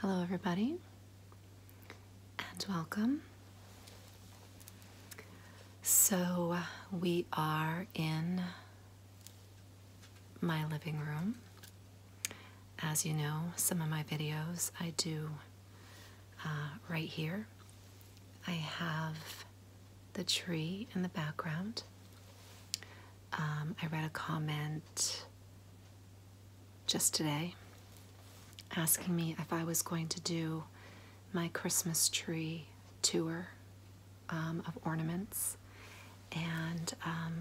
Hello, everybody, and welcome. So, we are in my living room. As you know, some of my videos I do uh, right here. I have the tree in the background. Um, I read a comment just today asking me if I was going to do my Christmas tree tour um, of ornaments. And um,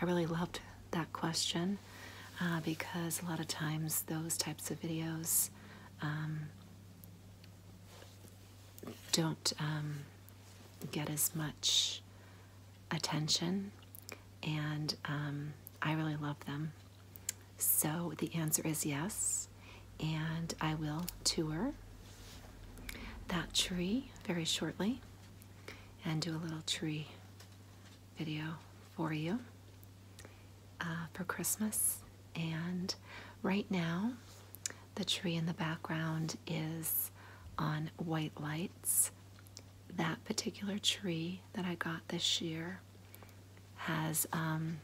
I really loved that question uh, because a lot of times those types of videos don't get as much attention, and um, I really love them. So the answer is yes, and I will tour that tree very shortly and do a little tree video for you uh, for Christmas. And right now, the tree in the background is on white lights. That particular tree that I got this year has um,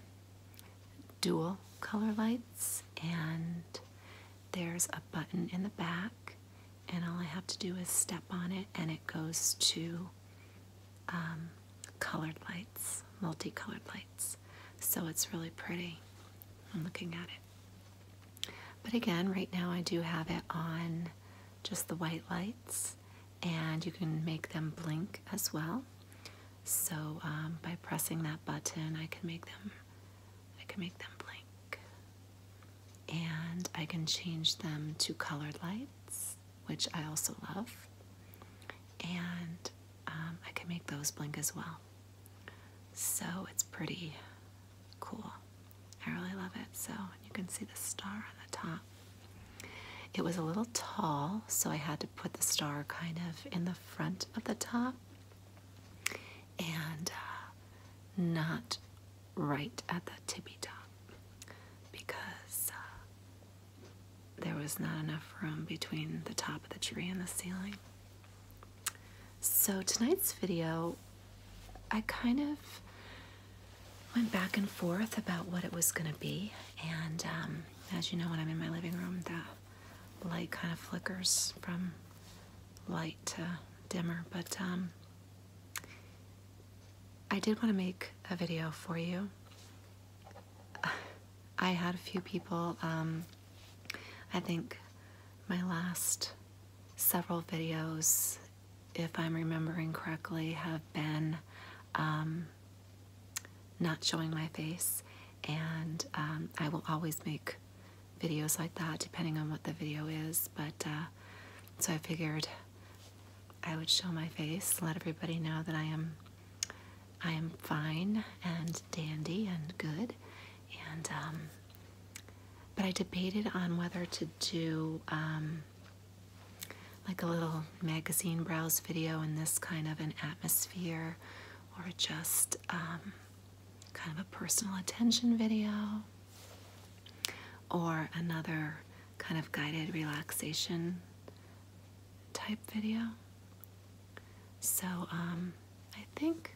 dual color lights, and there's a button in the back, and all I have to do is step on it, and it goes to um, colored lights, multicolored lights. So it's really pretty. I'm looking at it. But again, right now I do have it on just the white lights, and you can make them blink as well. So um, by pressing that button, I can make them, I can make them blink, and I can change them to colored lights, which I also love, and um, I can make those blink as well. So it's pretty cool. I really love it. So you can see the star on the top. It was a little tall, so I had to put the star kind of in the front of the top and uh, not right at the tippy top because uh, there was not enough room between the top of the tree and the ceiling. So tonight's video, I kind of went back and forth about what it was going to be. And um, as you know, when I'm in my living room, the light kind of flickers from light to dimmer. But um, I did want to make a video for you. I had a few people um, I think my last several videos, if I'm remembering correctly, have been um, not showing my face. And um, I will always make videos like that depending on what the video is. But uh, so I figured I would show my face, let everybody know that I am I am fine and dandy and good and um, but I debated on whether to do um, like a little magazine browse video in this kind of an atmosphere or just um, kind of a personal attention video or another kind of guided relaxation type video. So um, I think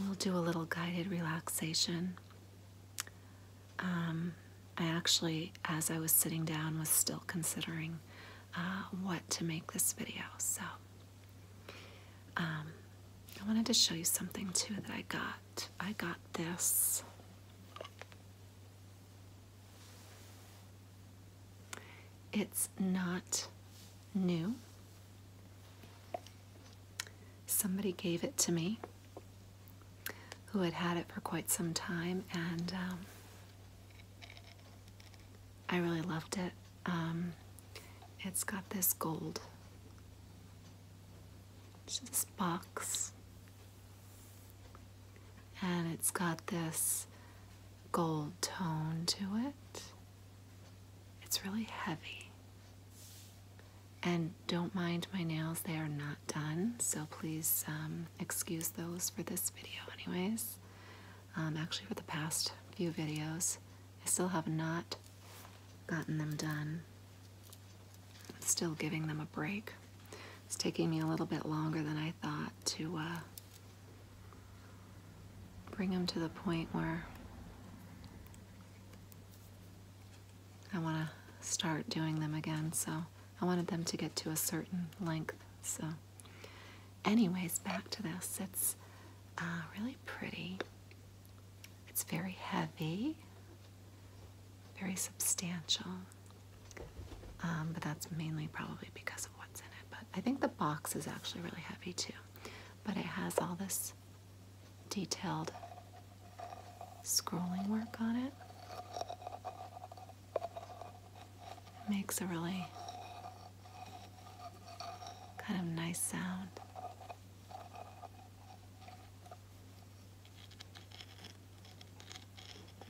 we'll do a little guided relaxation. Um, I actually, as I was sitting down, was still considering uh, what to make this video. So um, I wanted to show you something too that I got. I got this. It's not new. Somebody gave it to me who had had it for quite some time, and um, I really loved it. Um, it's got this gold, this box, and it's got this gold tone to it. It's really heavy. And don't mind my nails, they are not done, so please um, excuse those for this video, anyways. Um, actually, for the past few videos, I still have not gotten them done. I'm still giving them a break. It's taking me a little bit longer than I thought to uh, Bring them to the point where I want to start doing them again. So I wanted them to get to a certain length. So, anyways, back to this. It's uh, really pretty. It's very heavy, very substantial. Um, but that's mainly probably because of what's in it. But I think the box is actually really heavy too but it has all this detailed scrolling work on it. it makes a really kind of nice sound.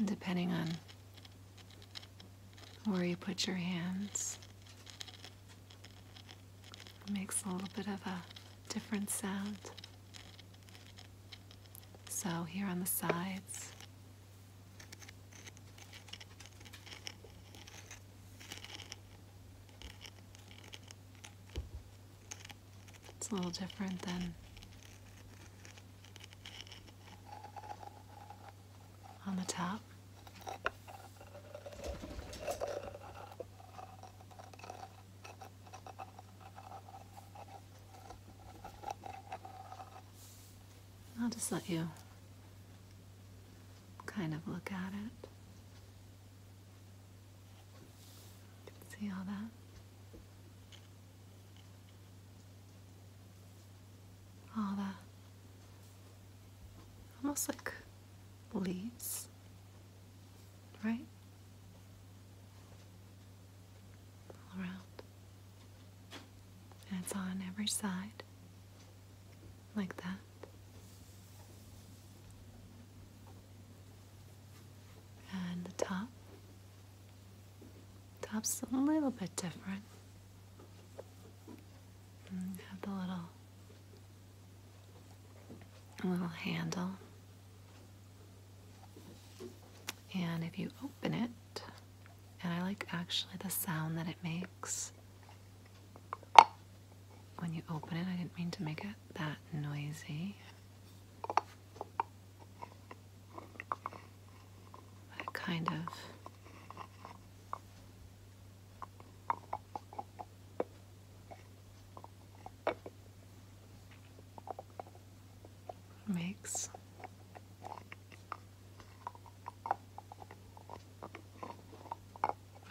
depending on where you put your hands, it makes a little bit of a different sound. So here on the sides, it's a little different than on the top. I'll just let you kind of look at it. See all that? All that. Almost like Leaves, right? All around. And it's on every side, like that. And the top. Top's a little bit different. Mm, have the little a little handle. And if you open it, and I like actually the sound that it makes when you open it. I didn't mean to make it that noisy. But kind of Mix.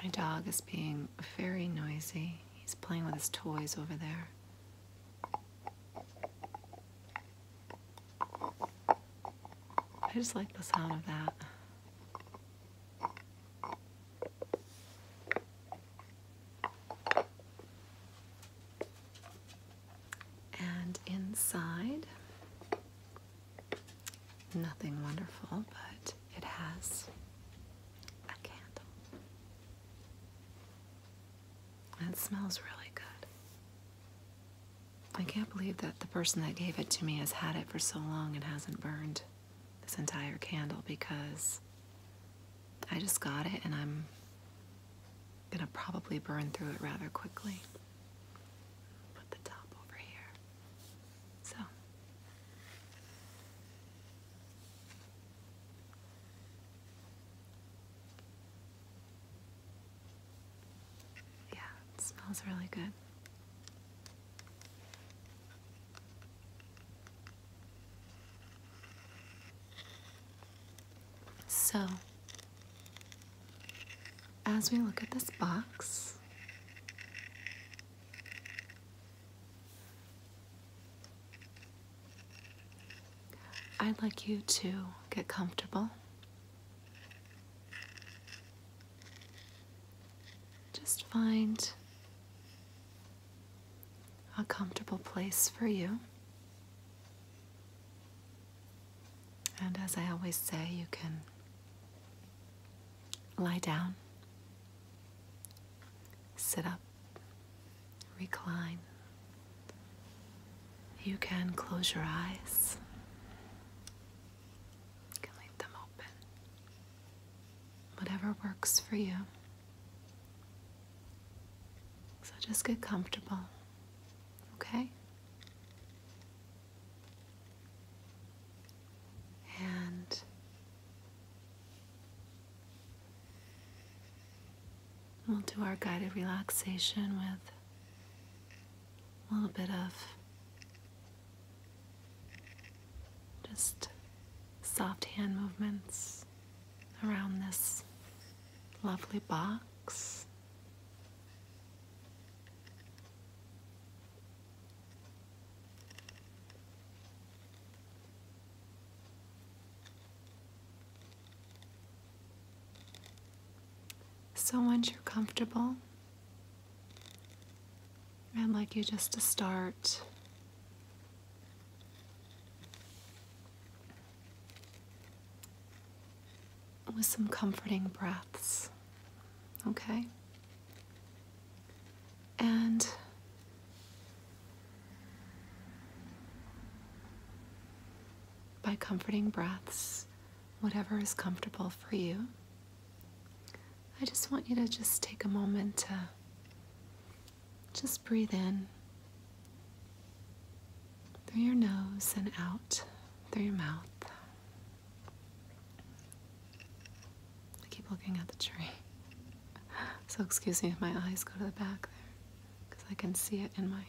My dog is being very noisy. He's playing with his toys over there. I just like the sound of that. And inside, nothing wonderful, but it has a candle. And smells really good. I can't believe that the person that gave it to me has had it for so long and hasn't burned this entire candle because I just got it and I'm gonna probably burn through it rather quickly. Put the top over here. So. Yeah, smells really good. So, as we look at this box, I'd like you to get comfortable. Just find a comfortable place for you. And as I always say, you can lie down, sit up, recline. You can close your eyes. You can leave them open whatever works for you. So just get comfortable, okay? And we'll do our guided relaxation with a little bit of just soft hand movements around this lovely box. So once you're comfortable, I'd like you just to start with some comforting breaths, okay? And by comforting breaths, whatever is comfortable for you. I just want you to just take a moment to just breathe in through your nose and out through your mouth. I keep looking at the tree. So, excuse me if my eyes go to the back there because I can see it in my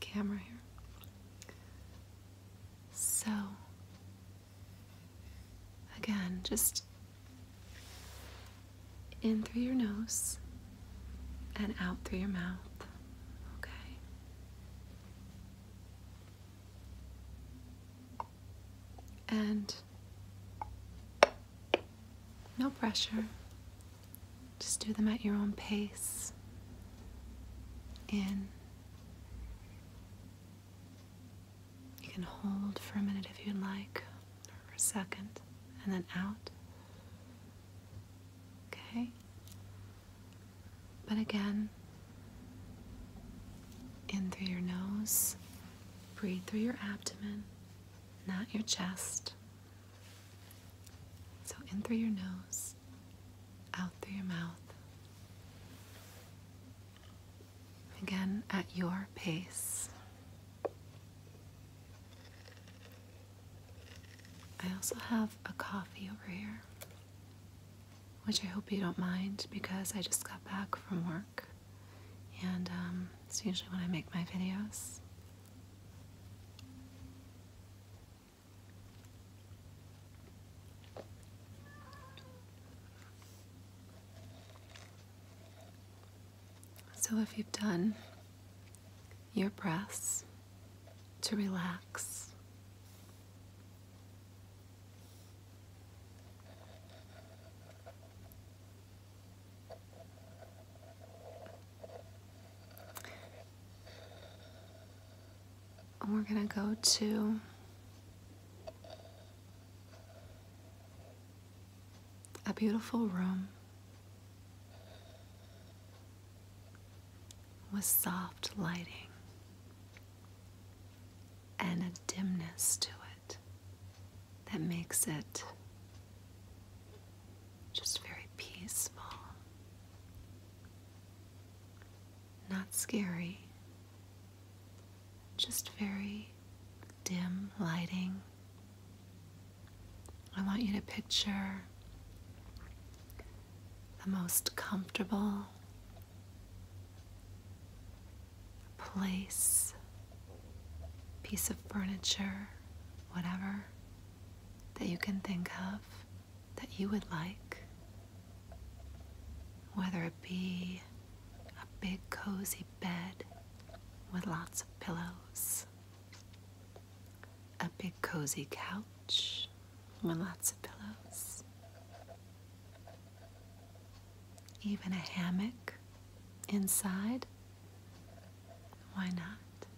camera here. So, Again, just in through your nose and out through your mouth. Okay. And no pressure. Just do them at your own pace. In you can hold for a minute if you'd like, or for a second, and then out. Okay? But again, in through your nose, breathe through your abdomen, not your chest. So in through your nose, out through your mouth. Again, at your pace. I also have a coffee over here, which I hope you don't mind because I just got back from work and um, it's usually when I make my videos. So, if you've done your breaths to relax, and we're gonna go to a beautiful room with soft lighting and a dimness to it that makes it just very peaceful. Not scary, just very dim lighting. I want you to picture the most comfortable place, piece of furniture, whatever that you can think of that you would like. Whether it be a big cozy bed with lots of pillows, a big cozy couch with lots of pillows, even a hammock inside, why not?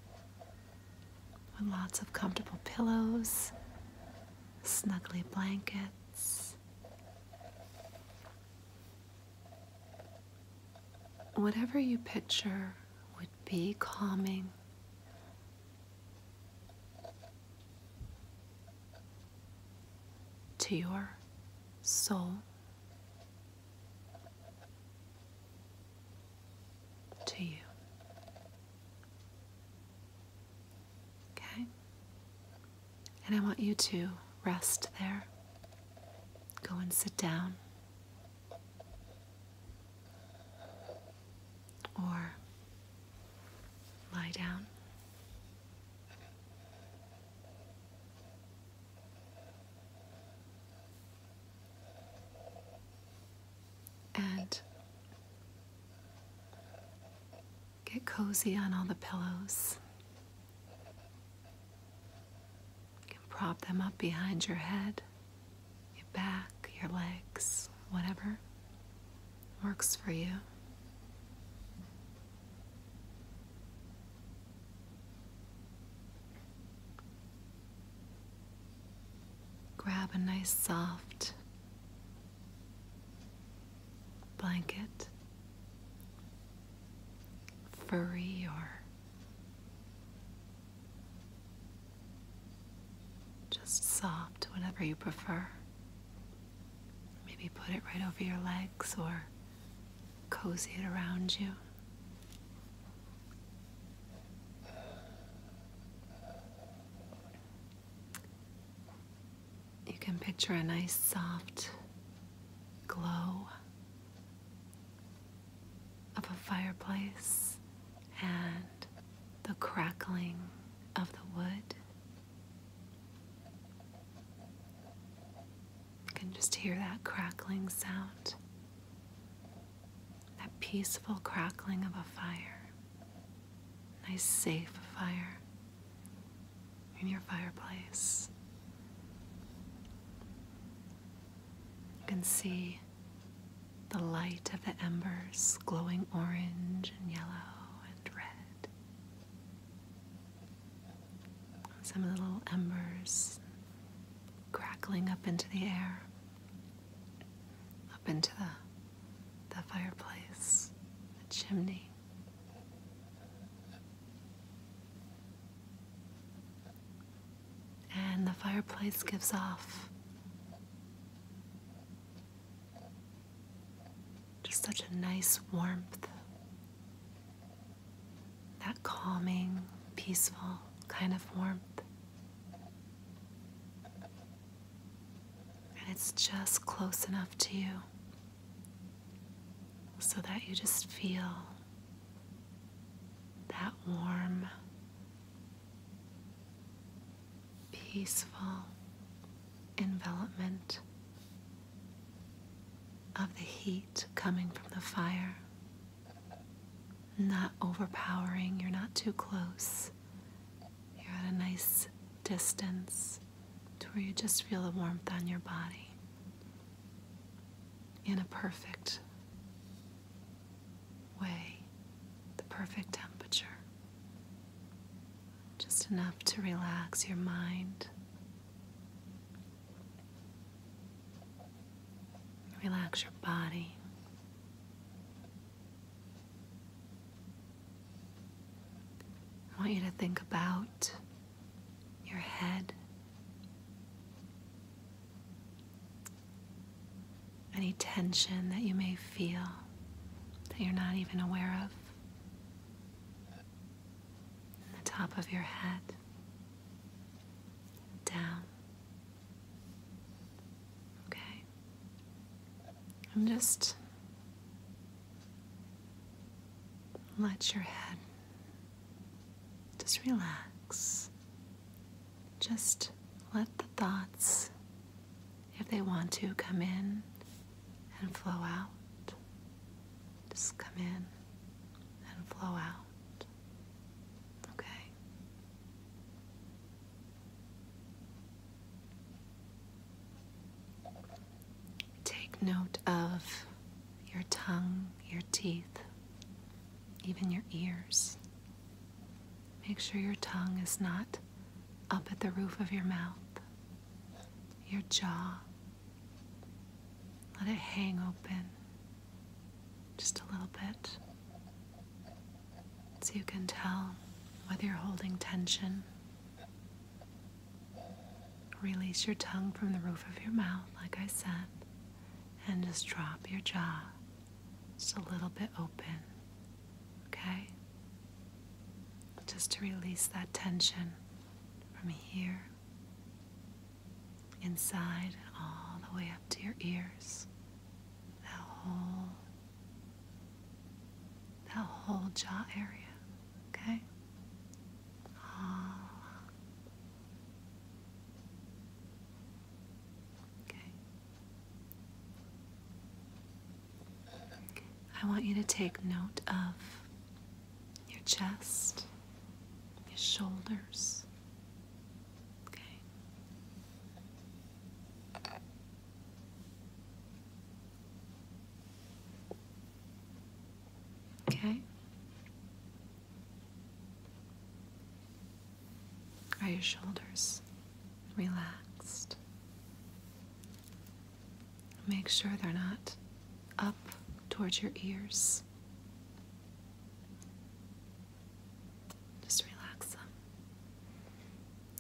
With lots of comfortable pillows, snuggly blankets. Whatever you picture would be calming. To your soul, to you. Okay? And I want you to rest there. Go and sit down. Or lie down. And Get cozy on all the pillows. You can prop them up behind your head, your back, your legs, whatever works for you. Grab a nice soft blanket, furry or just soft, whatever you prefer. Maybe put it right over your legs or cozy it around you. You can picture a nice soft glow of a fireplace and the crackling of the wood. You can just hear that crackling sound, that peaceful crackling of a fire, nice, safe fire in your fireplace. You can see the light of the embers glowing orange and yellow and red. Some of the little embers crackling up into the air, up into the fireplace, the chimney. And the fireplace gives off just such a nice warmth, that calming, peaceful kind of warmth. And it's just close enough to you so that you just feel that warm, peaceful envelopment of the heat coming from the fire. Not overpowering, you're not too close. You're at a nice distance to where you just feel the warmth on your body in a perfect way, the perfect temperature. Just enough to relax your mind, relax your body. I want you to think about your head. Any tension that you may feel that you're not even aware of. The top of your head. Down. Okay. I'm just let your head just relax. Just let the thoughts, if they want to, come in and flow out. Just come in and flow out. Okay. Take note of your tongue, your teeth, even your ears. Make sure your tongue is not up at the roof of your mouth, your jaw. Let it hang open just a little bit so you can tell whether you're holding tension Release your tongue from the roof of your mouth, like I said, and just drop your jaw just a little bit open, okay? Just to release that tension from here, inside, all the way up to your ears. That whole, that whole jaw area. Okay? Oh. Okay. I want you to take note of your chest, your shoulders. Okay. Okay? Are your shoulders relaxed? Make sure they're not up towards your ears. Just relax them.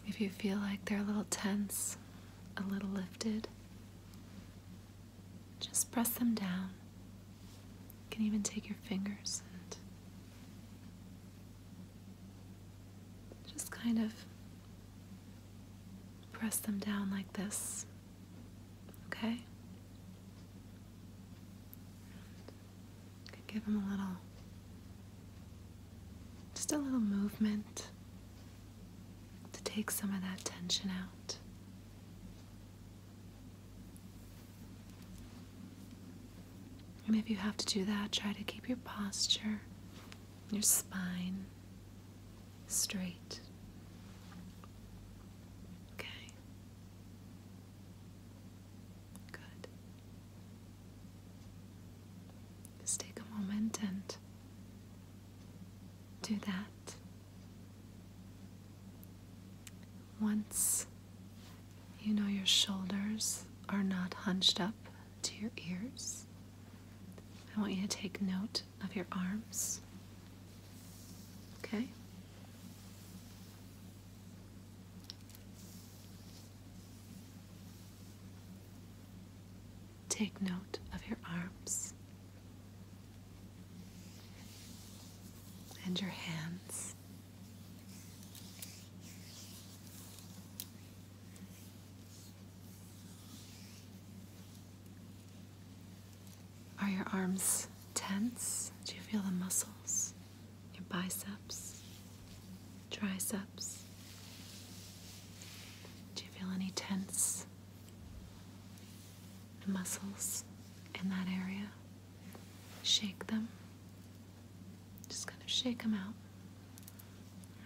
If you feel like they're a little tense, a little lifted, just press them down. You can even take your fingers and just kind of press them down like this. Okay? give them a little, just a little movement to take some of that tension out. And if you have to do that, try to keep your posture, your spine straight. Okay. Good. Just take a moment and do that. Once you know your shoulders are not hunched up to your ears, I want you to take note of your arms. Okay? Take note of your arms and your hands. Are your arms tense? Do you feel the muscles? Your biceps, triceps? Do you feel any tense muscles in that area. Shake them. Just kind of shake them out.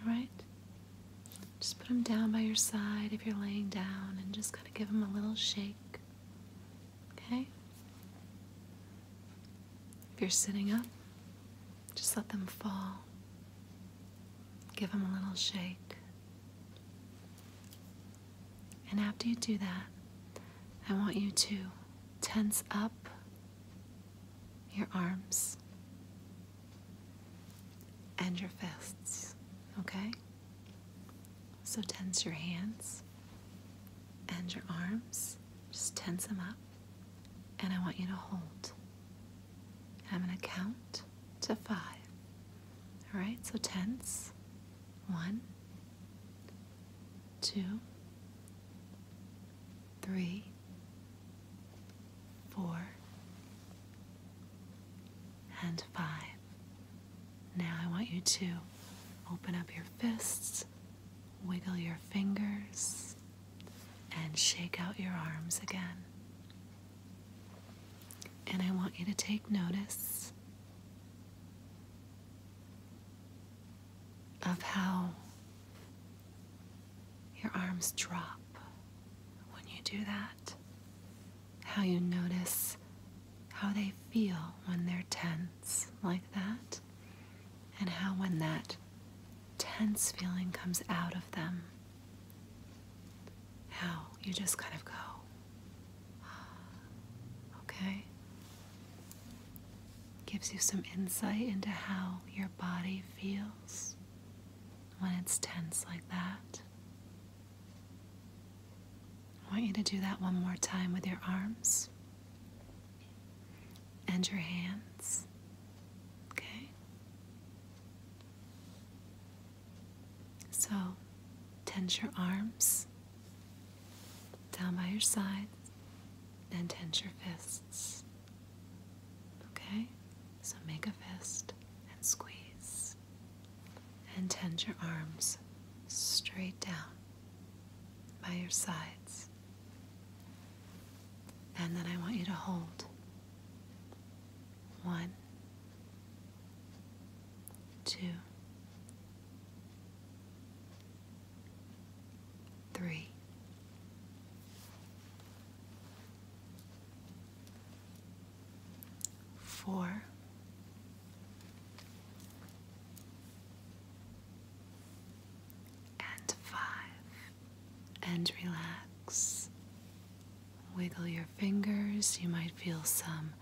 Alright? Just put them down by your side if you're laying down and just kind of give them a little shake. Okay? If you're sitting up, just let them fall Give him a little shake. And after you do that, I want you to tense up your arms and your fists, okay? So tense your hands and your arms. Just tense them up. And I want you to hold. I'm going to count to five. All right, so tens, one, One, two, three, four, and five. Now I want you to open up your fists, wiggle your fingers, and shake out your arms again. And I want you to take notice of how your arms drop when you do that, how you notice how they feel when they're tense like that, and how when that tense feeling comes out of them, how you just kind of go, okay? Gives you some insight into how your body feels when it's tense like that. I want you to do that one more time with your arms and your hands. Okay? So tense your arms down by your sides and tense your fists. Okay? So make a fist and squeeze and tense your arms straight down by your sides. And then I want you to hold. One, Two, three, four, and five, and relax. Wiggle your fingers. You might feel some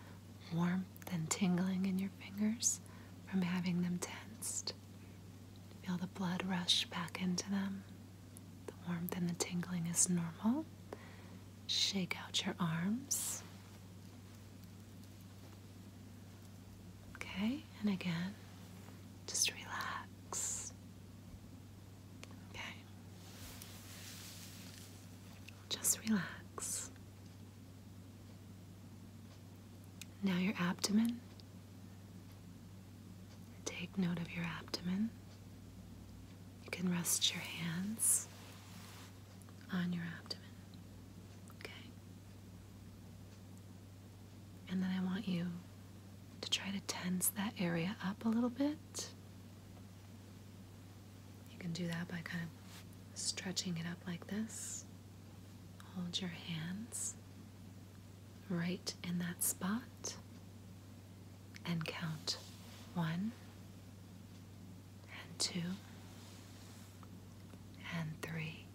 warmth and tingling in your fingers from having them tensed. Feel the blood rush back into them. The warmth and the tingling is normal. Shake out your arms. Okay, and again, just relax. Okay. Just relax. Now your abdomen. Take note of your abdomen. You can rest your hands on your abdomen. Okay? And then I want you to try to tense that area up a little bit. You can do that by kind of stretching it up like this. Hold your hands right in that spot and count one and two and three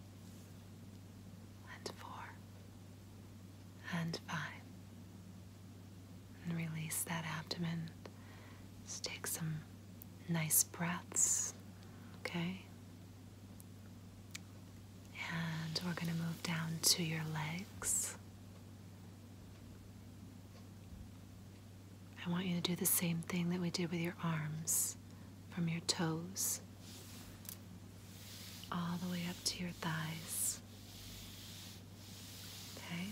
and four and five and release that abdomen. Just take some nice breaths, okay? And we're going to move down to your legs. I want you to do the same thing that we did with your arms from your toes all the way up to your thighs. Okay?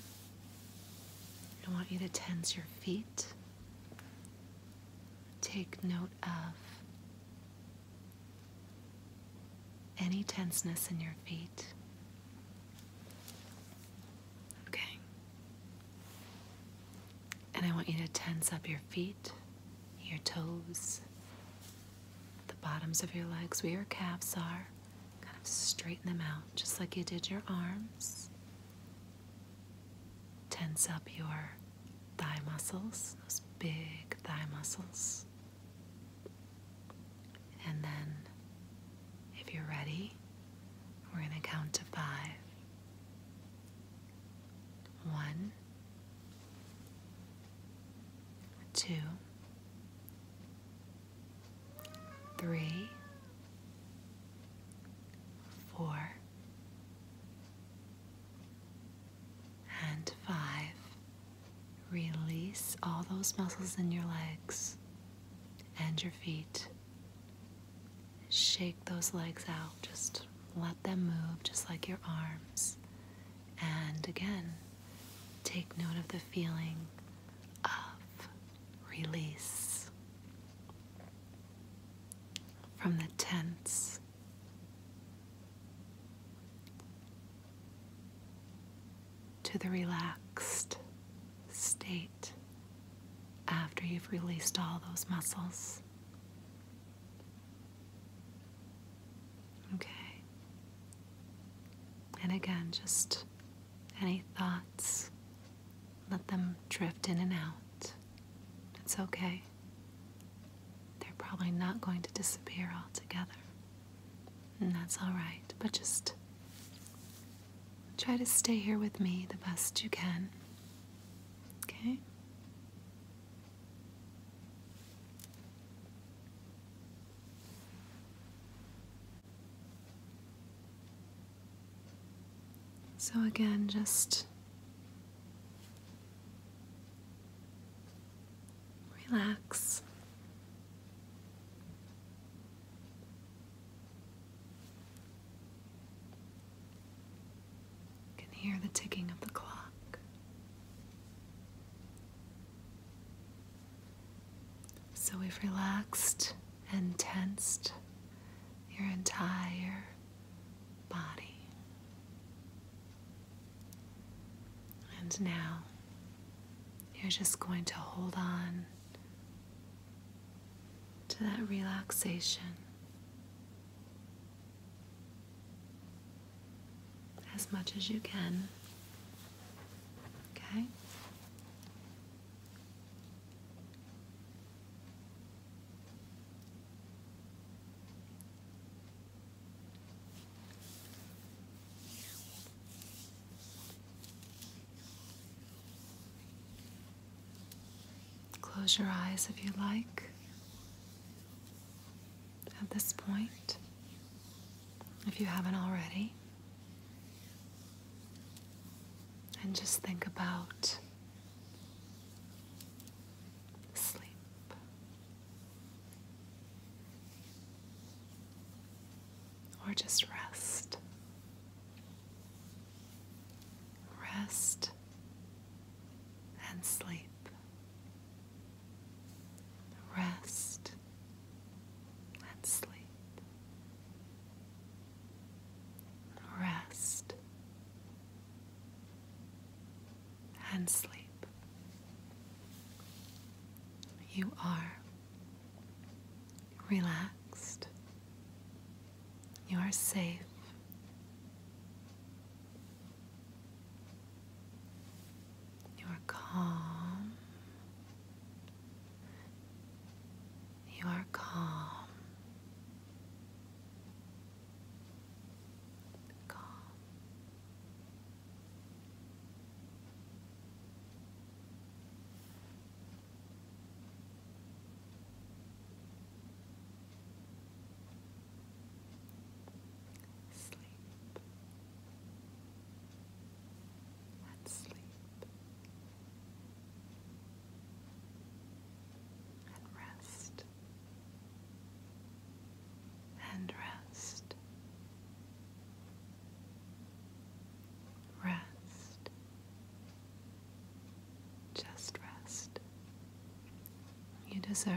I want you to tense your feet. Take note of any tenseness in your feet. Okay. And I want you to tense up your feet, your toes, the bottoms of your legs where your calves are kind of straighten them out just like you did your arms. Tense up your thigh muscles, those big thigh muscles. And then, if you're ready, we're going to count to five. One, two, three, four, and five. Release all those muscles in your legs and your feet. Shake those legs out, just let them move just like your arms. And again, take note of the feeling of release from the tense. To the relaxed state after you've released all those muscles. Okay. And again, just any thoughts. Let them drift in and out. It's okay. They're probably not going to disappear altogether. And that's all right. But just try to stay here with me the best you can. Okay? So, again, just relax. can hear the ticking of the clock. So, we've relaxed and tensed your entire body. And now you're just going to hold on to that relaxation as much as you can. Okay? Close your eyes if you like at this point, if you haven't already. And just think about sleep. Or just rest. Rest and sleep. Rest and sleep rest, and sleep. You are relaxed. You are safe. You are calm you are calm. Calm. Sleep. let Sleep and rest and rest rest just rest you deserve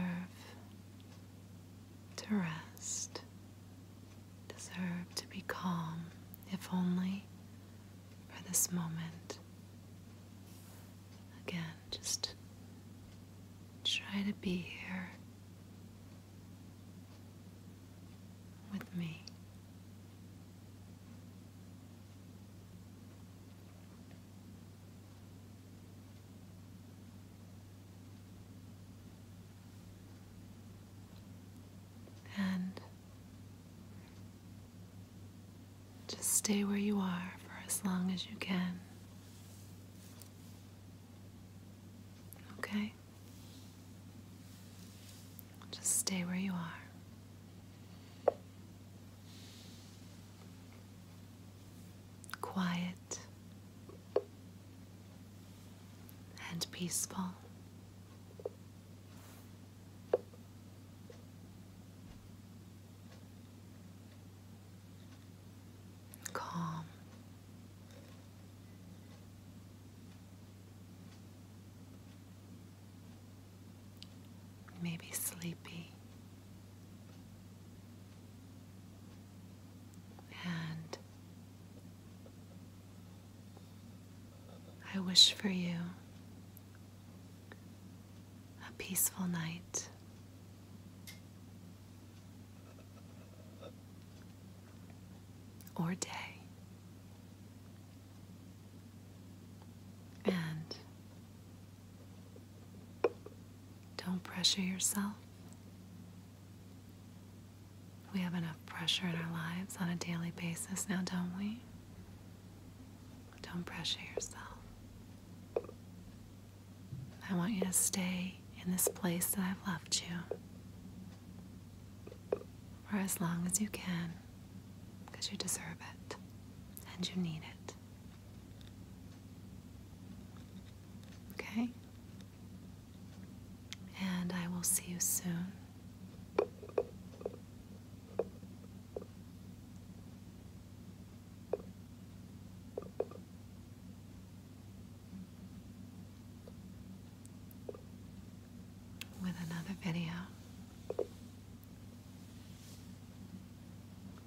to rest deserve to be calm if only for this moment. Again, just try to be here with me. And just stay where you are for as long as you can. Okay? Just stay where you are. Quiet and peaceful Calm. Maybe sleepy. And I wish for you a peaceful night. Or day. And don't pressure yourself. We have enough pressure in our lives on a daily basis now, don't we? Don't pressure yourself. I want you to stay in this place that I've loved you for as long as you can because you deserve it and you need it. Okay? And I will see you soon with another video.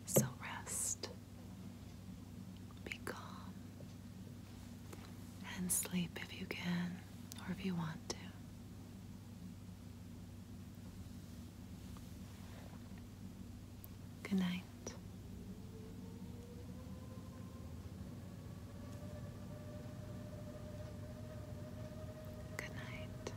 So rest, be calm, and sleep if you can or if you want to. Good night. Good night.